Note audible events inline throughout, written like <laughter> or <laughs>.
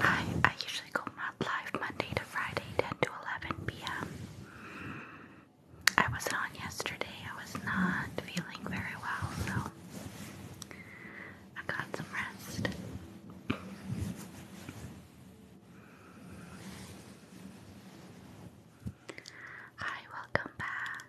I I usually go live Monday to Friday, 10 to 11 p.m. I wasn't on yesterday. I was not feeling very well, so I got some rest. Hi, welcome back.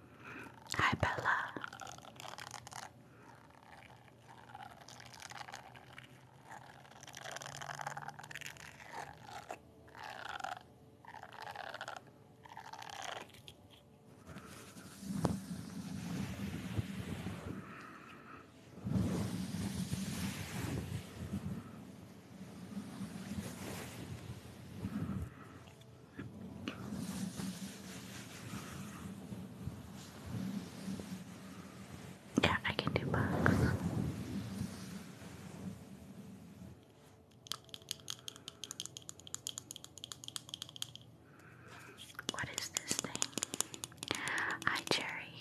Hi, Bella. Yeah, I can do bugs. What is this thing? Hi, Cherry.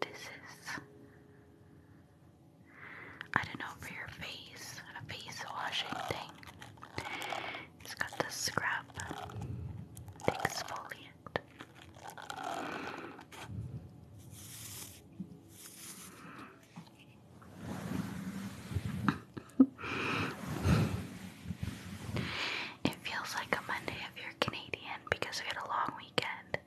This is I don't for your face, a face washing thing. It's got the scrub exfoliant. it feels like a Monday if you're Canadian because we had a long weekend.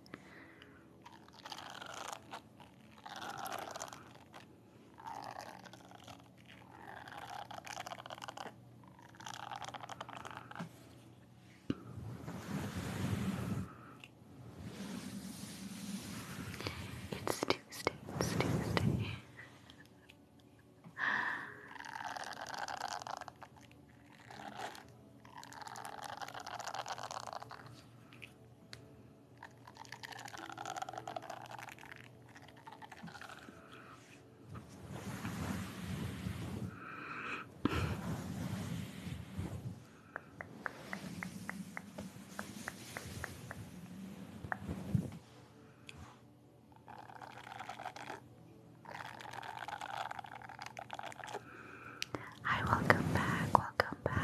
It's Tuesday, it's Tuesday. Hi, welcome back, welcome back.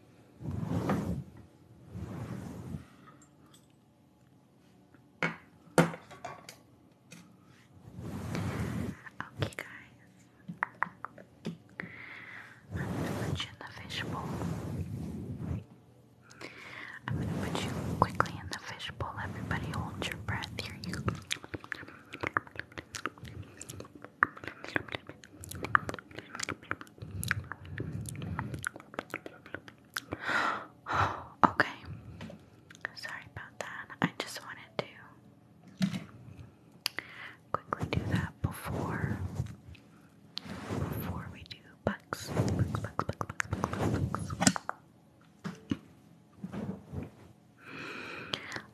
Okay, guys, I'm gonna put you in the fishbowl. I'm gonna put you quickly in the fishbowl. Everybody, hold your breath here. You. <gasps> okay. Sorry about that. I just wanted to quickly do that before before we do bucks.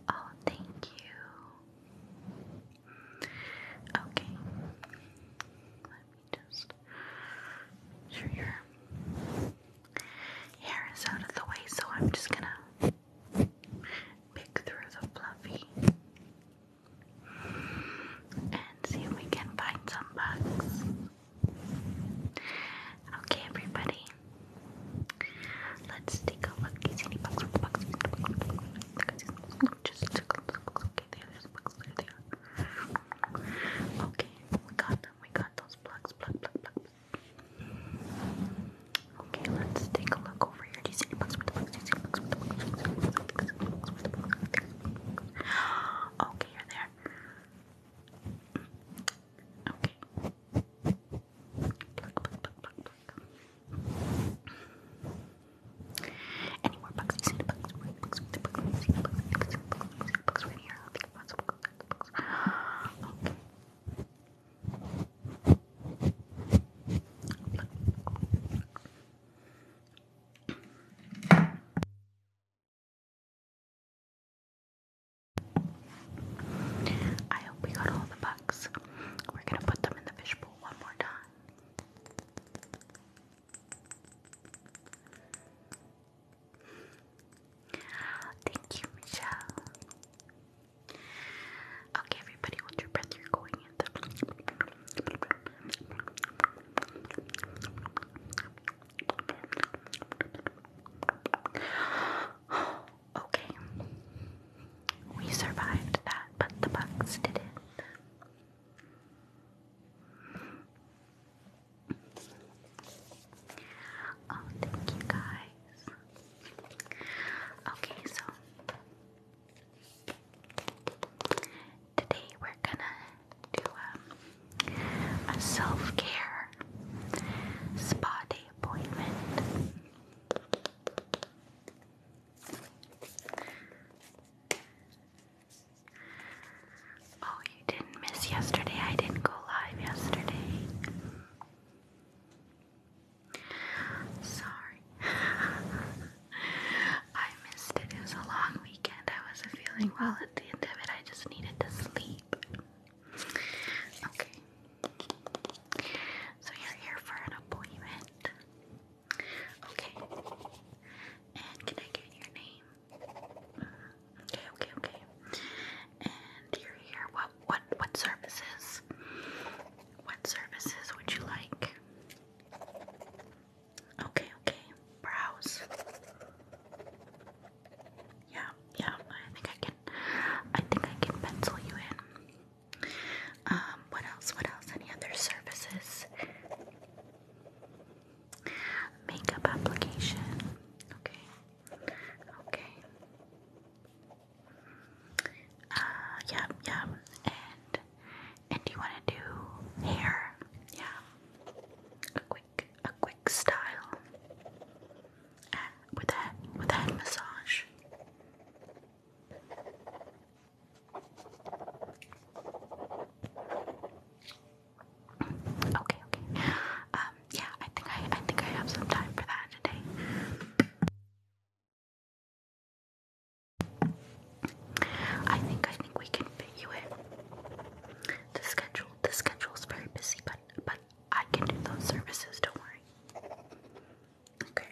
Oh, thank you. Okay. Let me just make sure your hair is out of the way, so I'm just gonna pick through the fluffy and see if we can find some bugs. Okay, everybody. Let's take a look. Is any bugs? bugs? Just Okay, there's plugs there, there. Okay, we got them, we got those plugs, plug, plug, plug. Okay, let's take a look over here. Do you see any plugs with the plugs? Do you see any plugs the plugs? Okay, you're there. Okay. Plug, plug, plug, plug, plug. Any more bugs? we We're gonna put them in the fishbowl one more time. Thank you, Michelle. Okay, everybody, hold your breath. You're going in the. <gasps> okay, we survived that, but the bugs didn't. Oh, thank you guys. Okay, so today we're gonna do um, a self care spa day appointment. Oh, you didn't miss yesterday. I didn't go live yesterday. Sorry. <laughs> I missed it. It was a long weekend. I wasn't feeling well at the end of it. I just needed to sleep. Okay. So you're here for an appointment. Okay. And can I get your name? Okay, okay, okay. And you're here. What what what services? What services would you like? Okay, okay. Browse. Yeah, yeah. I think I can I think I can pencil you in. Um, what else? What else? Any other services? Makeup application. Okay. Okay. Uh, yeah, yeah. And and you want to do hair? Yeah. A quick, a quick style. And uh, with that, with that massage. Okay, okay. Um, yeah, I think I, I think I have some time for that today. I think I think we can fit you in. The schedule the schedule is very busy, but but I can do those services. Don't worry. Okay.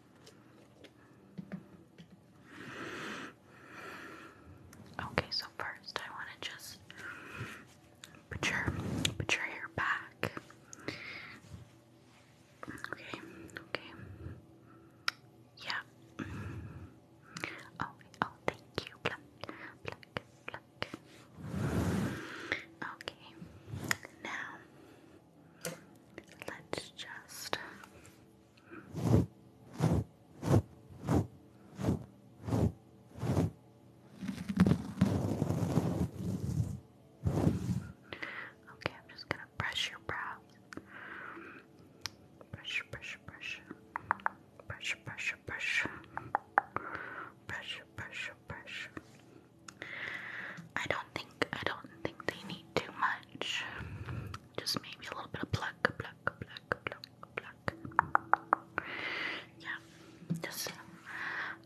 Okay, so first I want to just put your put your hair back. Okay, okay. Yeah. Oh, oh, thank you. Okay. Now Let's just Okay, I'm just gonna brush your brows. Brush, brush, brush. Brush, brush, brush. Brush, brush, brush. I don't think I don't think they need too much. Just maybe a little bit of pluck, pluck, pluck, pluck, pluck. Yeah, just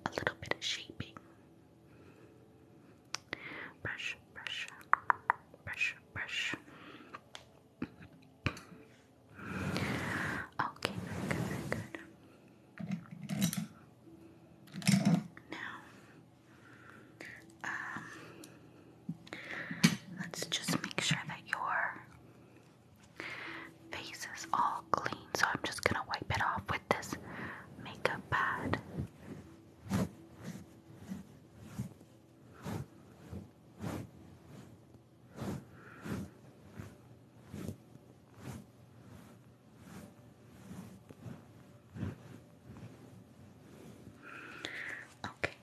a little bit of shaping. Brush, brush, brush, brush. Okay, very good, very good. Now, um, let's just make sure that your face is all clean. So I'm just gonna wipe it off with this makeup pad. Okay.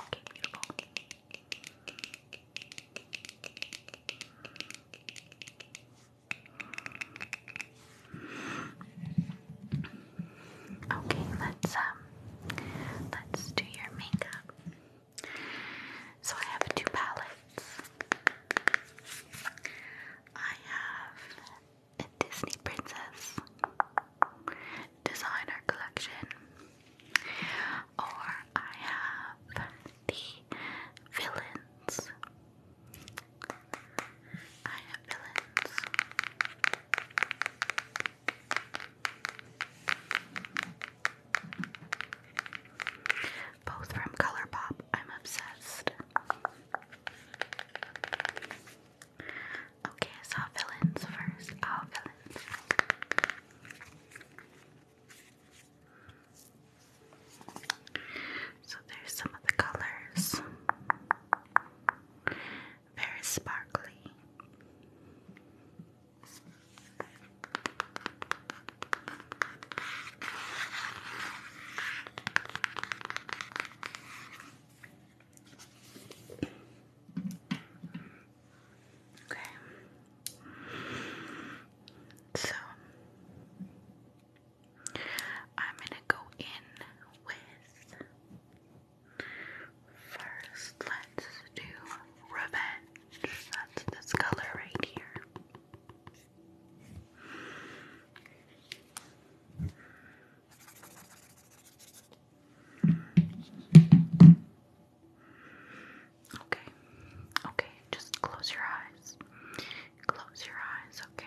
Okay, Okay, let's um let's do your makeup. So I have two palettes. I have a Disney Princess designer collection, or I have the villains. I have villains. Both from Colourpop. I'm obsessed. Okay, so villains first. Our oh, villains. So there's some of the colors. Very sparkly. Okay. So I'm gonna go in with first let's do revenge. That's this color right here. Okay. Okay, just close your eyes. Close your eyes, okay?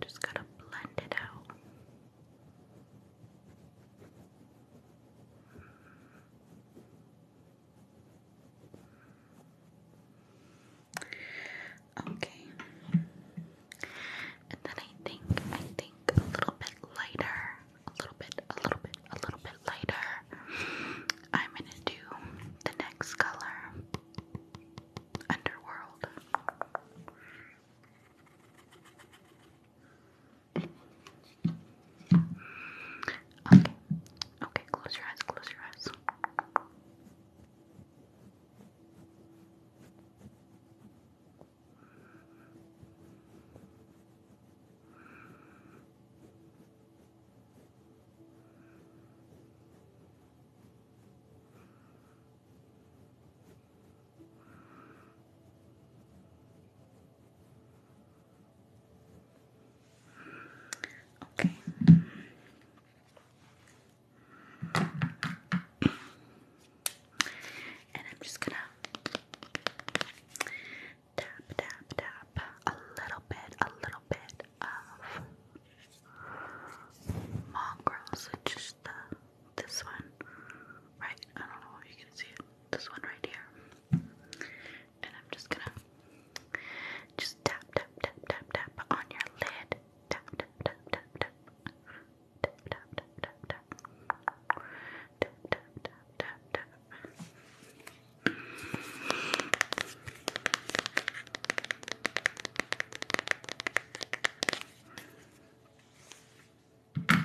just gotta blend it out. Okay. And then I think I think a little bit lighter, a little bit, a little bit, a little bit lighter. I'm gonna do the next color, Underworld. Okay. Okay, close your eyes, close your eyes. Okay. And I'm just gonna tap, tap, tap a little bit, a little bit of mongrels. just the this one, right? I don't know if you can see it this one right here. And I'm just gonna just tap, tap, tap, tap, tap on your lid. Tap, tap, tap, tap, tap. Tap, tap, tap, tap, tap. Tap, tap, tap, Oh,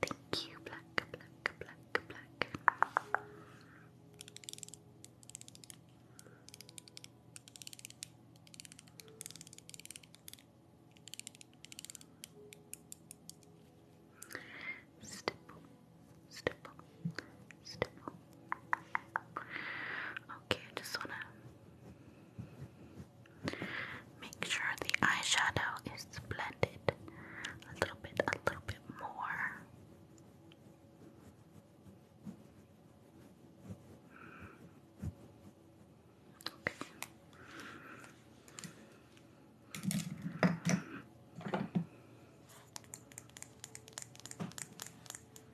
thank you, black, black, black, black. Stipple, stipple, stipple, Okay, I just want to make sure the eyeshadow is blended a little bit, a little bit more. Okay.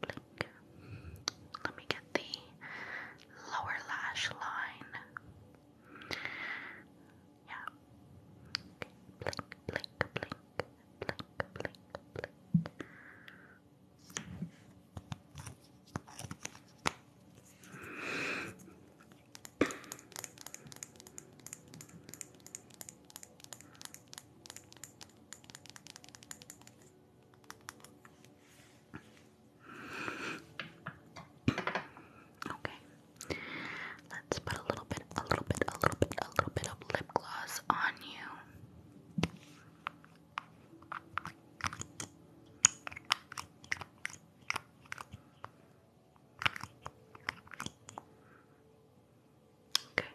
blink. Let me get the lower lash line. Yeah. Blink, blink, blink, blink, blink, blink. Okay. Let's put a little bit, a little bit, a little bit, a little bit of lip gloss on you. Okay.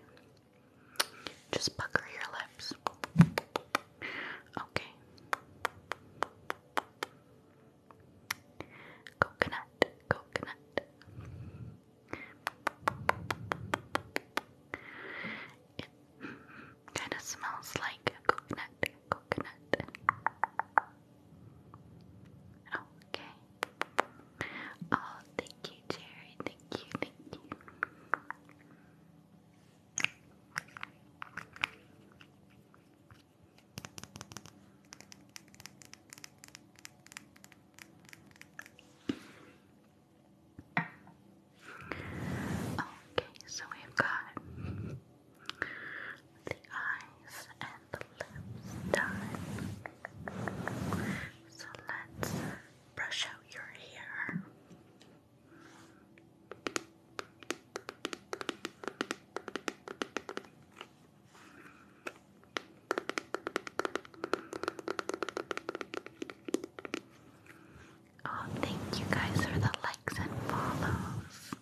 Just pucker your lips. Okay. Coconut, coconut. It kind of smells like coconut, coconut. Okay. Oh, thank you, Jerry. Thank you, thank you. Okay, so we've got the eyes and the lips done. So let's brush out your hair. Oh, thank you guys for the likes and follows.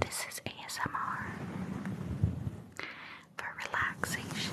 This is ASMR for relaxation.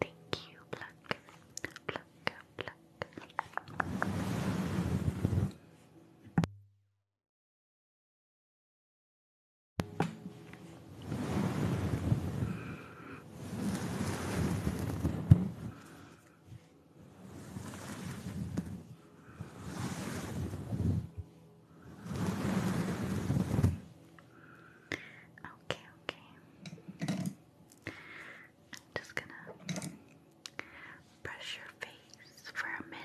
thank you, pluck, pluck, pluck. Okay, okay. I'm just gonna brush your face for a minute.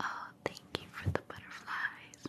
Oh, thank you for the butterflies.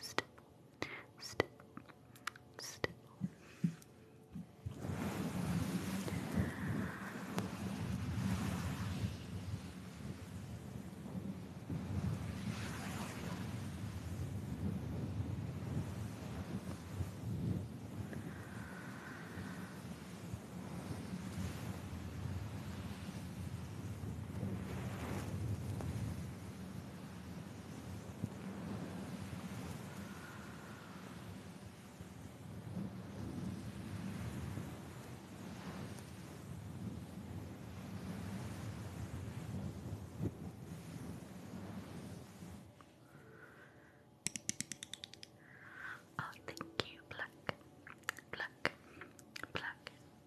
still, still, still. Oh, thank you, pluck, pluck, pluck,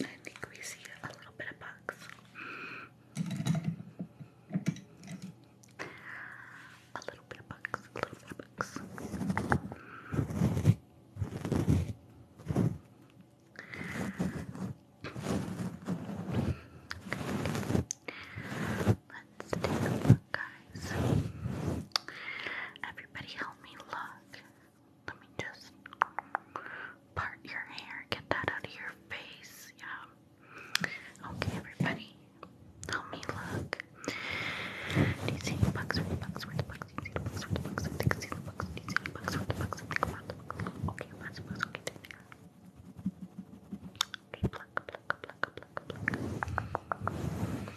I think we see a little bit of bugs. A little bit of bugs, a little bit of bugs. Let's take a look, guys. Everybody help me look. Let me just part your hair, get that out of your face. Yeah. Okay, everybody. Help me look. Do you Okay, Okay, Okay,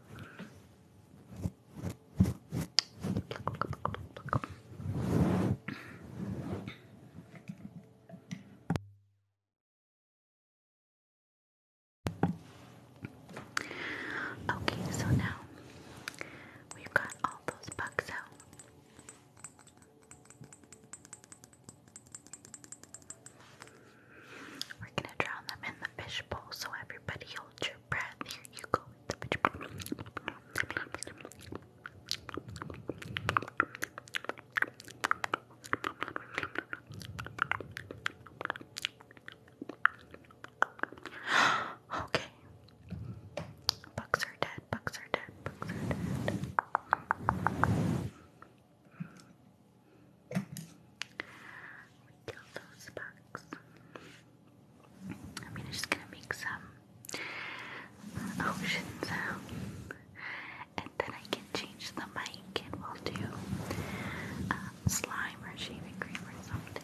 Okay, so now we've got all those bugs out. We're gonna drown them in the fishbowl, so everybody hold your breath. Here you go. <gasps> okay. Bucks are dead, bucks are dead, bucks are dead kill those bugs. I am just gonna make some ocean sounds, and then I can change the mic, and we'll do uh, slime or shaving cream or something.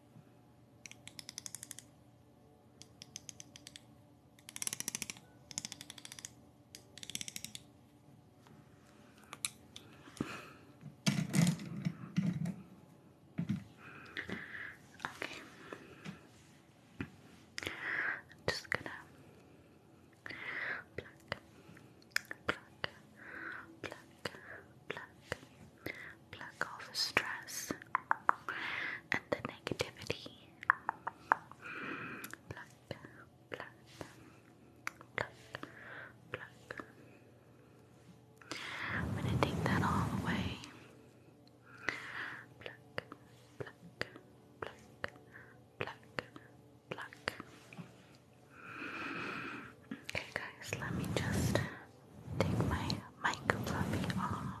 Okay. I'm just gonna pluck, pluck, pluck, pluck, pluck off stress and the negativity. Pluck, pluck, pluck, pluck. I'm gonna take that all away. Pluck, pluck, pluck, pluck, pluck. Okay, guys, let me just take my mic fluffy off.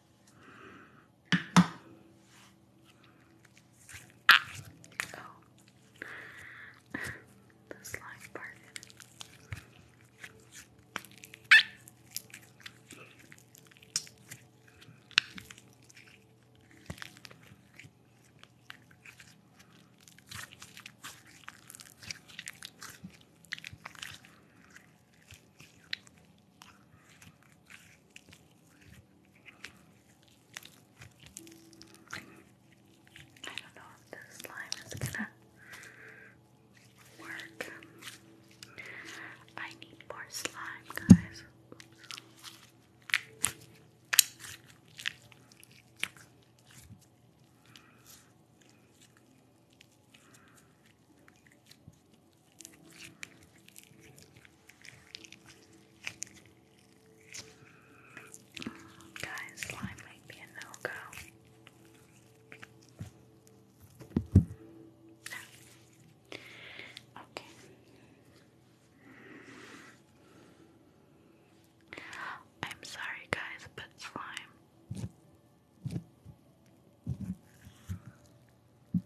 Oh. the slime part I don't know if this slime is gonna work. I need more slime, guys. Mm, guys, slime might no go. Ah. Okay. I'm sorry, guys, but slime I'm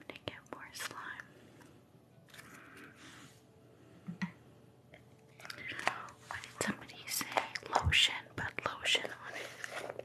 gonna get more slime. Why did somebody say lotion, but lotion on it?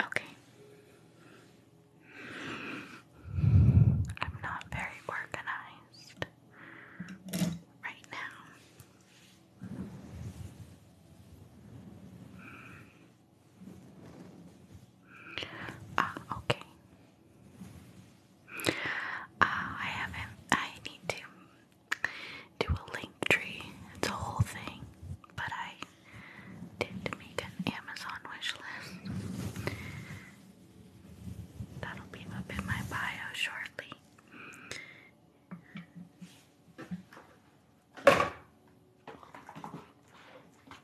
Okay. I'm not very organized right now. Ah, okay. Uh, I haven't. I need to do a link tree. It's a whole thing, but I did make an Amazon wish That'll be up in my bio shortly.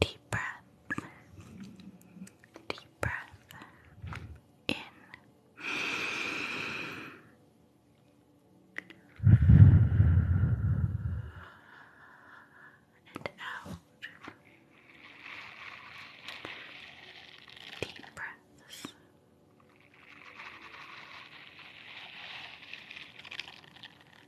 Deep breath. Deep breath. In. And out. Deep breaths.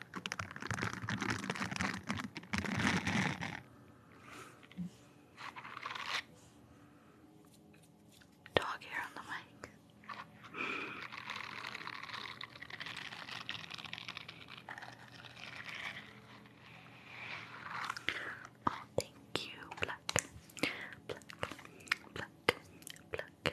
Dog hair on the mic. Oh, thank you, Black. Black, Black, Black.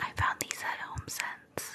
I found these at Home Sense.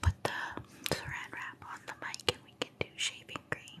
put the saran wrap on the mic and we can do shaving cream.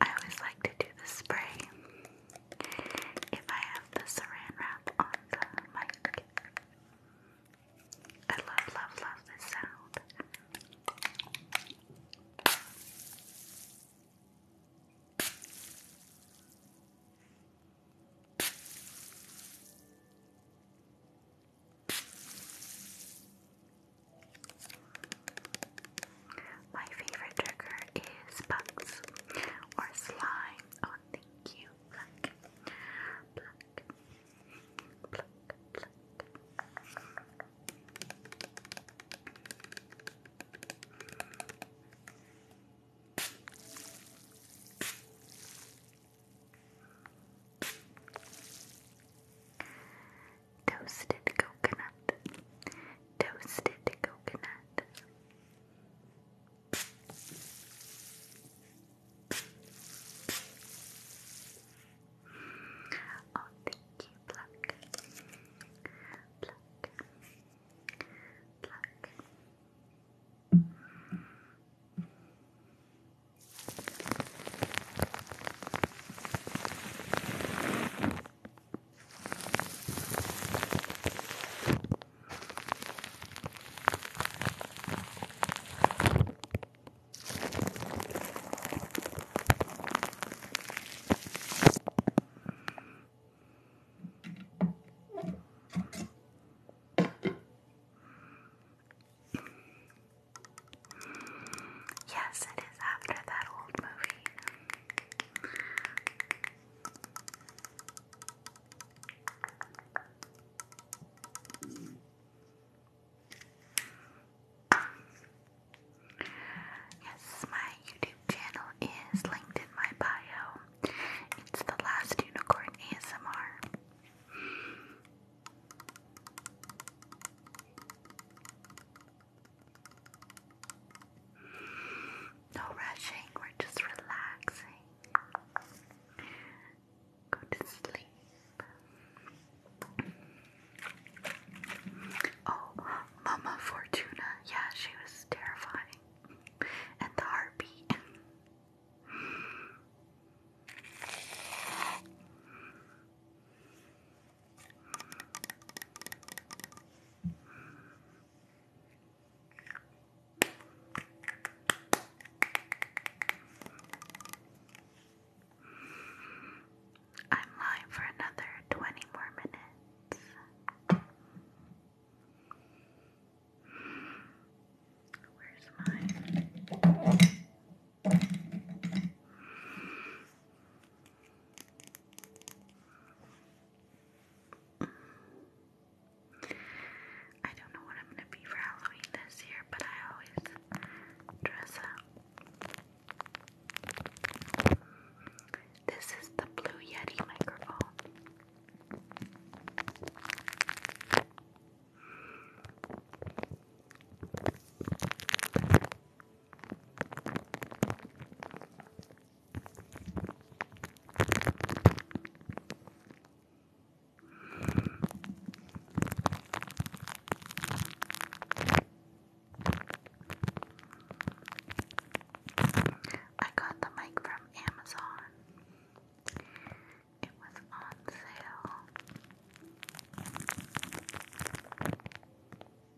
I always like to do the spray if I have the saran wrap on the mic. I love, love, love this sound. My favorite trigger is bugs or slime. Oh, thank you. Pluck, pluck, pluck, pluck toasted coconut, toasted coconut. Oh, thank you, pluck, pluck, pluck. Yes, it is after that old movie. Yes, my YouTube channel is linked in my bio. It's the last unicorn ASMR. No rushing, we're just relaxing. Go to sleep. Oh, Mama Fortuna. Yeah, she was terrifying. And the heartbeat. I'm live for another 20 more minutes. Where's mine? I don't know what I'm gonna be for Halloween this year, but I always dress up. This is the Blue Yeti microphone. I got the mic from Amazon. It was on sale.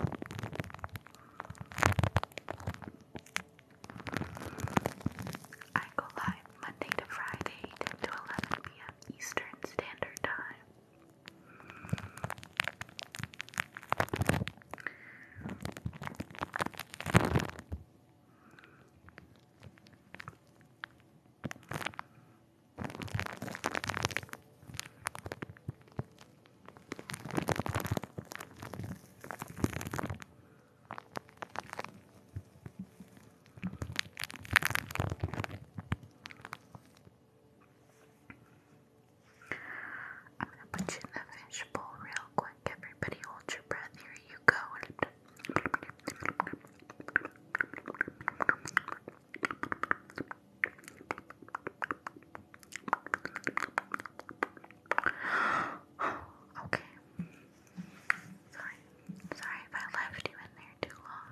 I go live Monday to Friday, 10 to 11 p.m. Eastern Standard Time. I'm gonna put you in the fishbowl real quick. Everybody hold your breath. Here you go. <sighs> okay. Sorry. Sorry if I left you in there too long.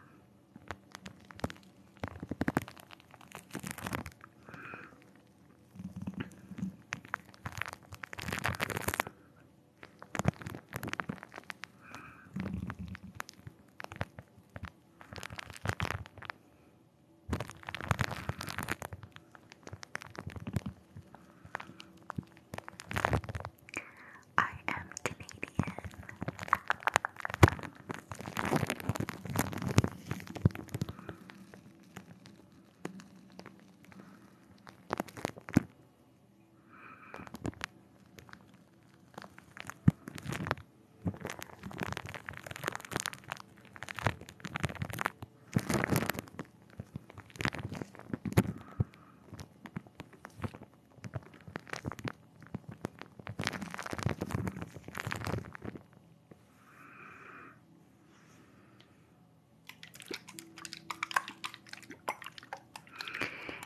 I am Canadian.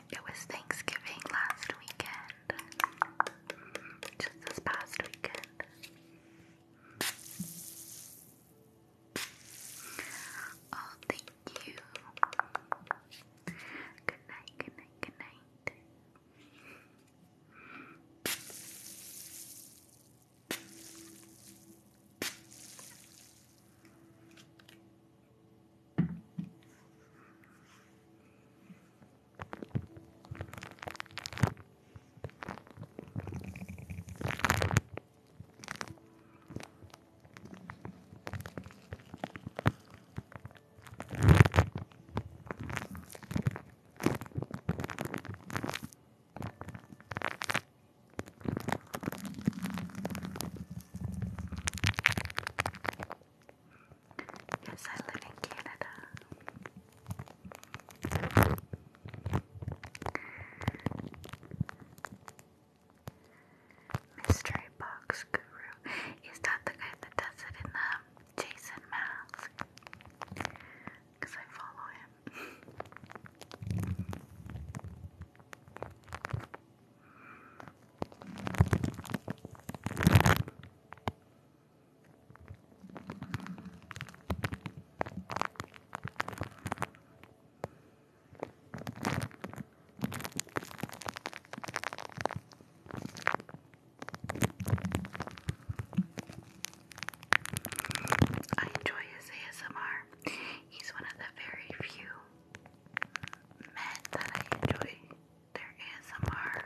It was Thanksgiving last weekend. Just this past weekend. Oh, thank you. Good night, good night, good night. Yes, I live in Canada. Mystery Box Guru. Is not the guy that does it in the Jason mask? Because I follow him. I enjoy his ASMR. He's one of the very few men that I enjoy their ASMR.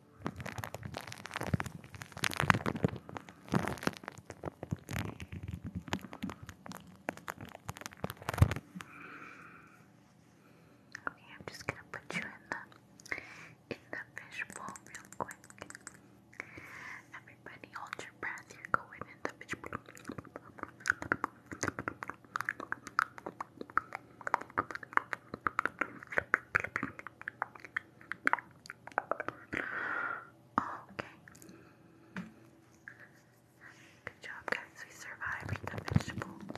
Okay, I'm just gonna put you in the in the fishbowl real quick. Everybody hold your breath, you're going in the fishbowl. Oh, okay. Good job, guys. We survived the vegetable. Okay.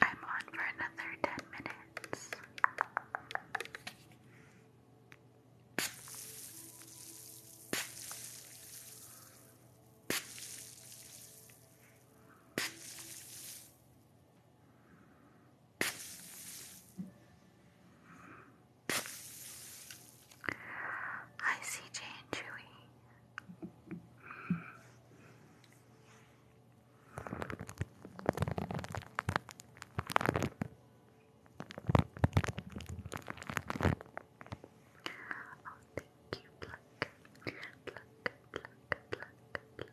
I'm on for another 10 minutes. I see Jane Chewy thank you, pluck, pluck, pluck, pluck, pluck, pluck.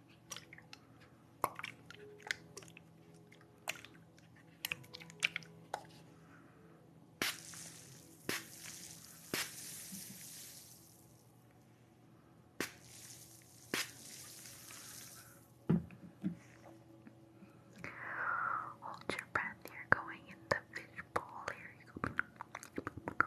Hold your breath, you're going in the fishbowl. Here you go.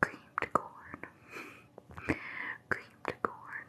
Creamed corn. Creamed corn.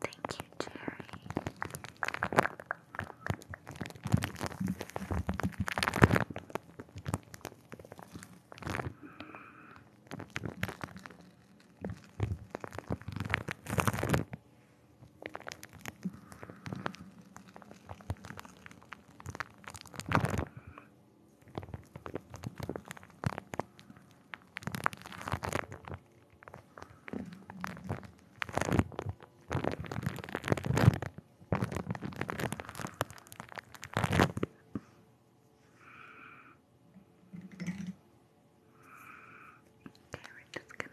Thank you, Jerry. Okay, we're just gonna Okay,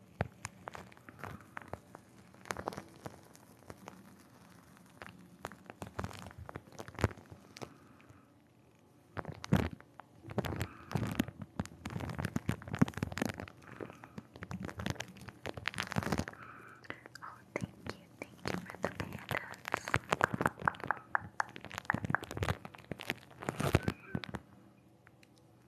Oh, thank you, thank you for the pandas.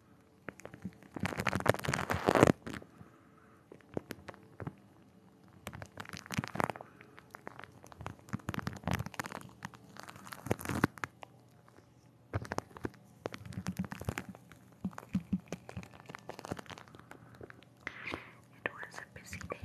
It was a busy day.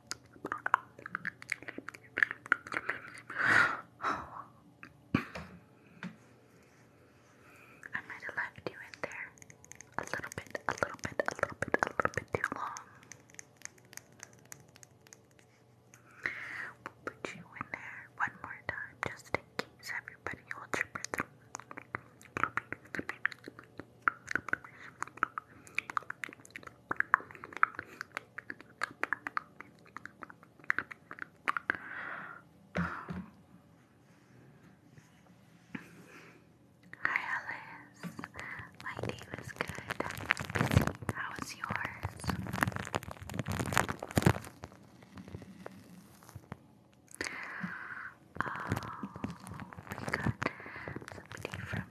I might have left you in there a little bit, a little bit, a little bit, a little bit too long. We'll put you in there one more time just in case everybody holds your breath. Um. Hi Alice, my day was good. How was yours? Oh, we somebody from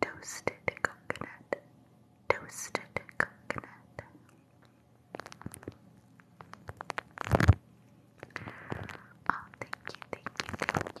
toasted coconut, toasted coconut. Oh, thank you, thank you, thank you.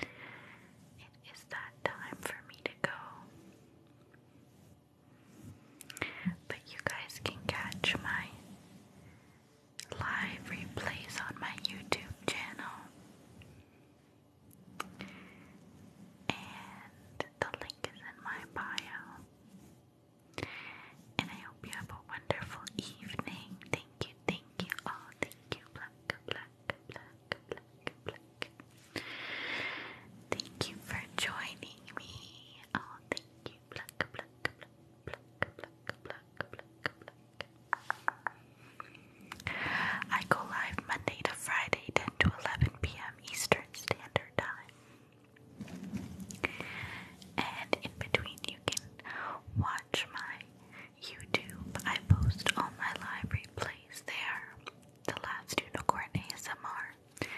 It is that time for me to go. But you guys can catch my live replays on my YouTube channel. And the link is in my bio. And I hope you have a wonderful evening. Thank you, thank you all. Thank you, black, black. Thank you for joining me. Oh, thank you. I go live Monday to Friday, 10 to 11 p.m. Eastern Standard Time. And in between, you can watch my YouTube, I post all my library plays there. The Last Unicorn ASMR.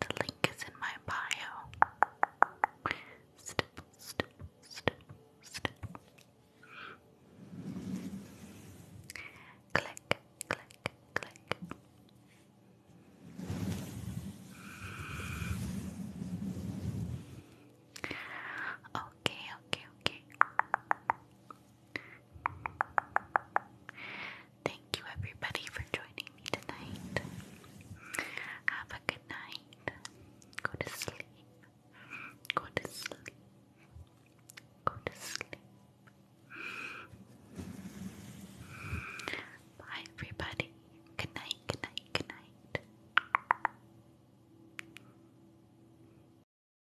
The link is in my bio. Stipple, stipple, stipple, stipple. Click, click, click. Okay, okay, okay. Thank you, everybody, for joining me tonight. Have a good night. Go to sleep. Go to sleep. Go to sleep. Bye, everybody. Good night, good night, good night.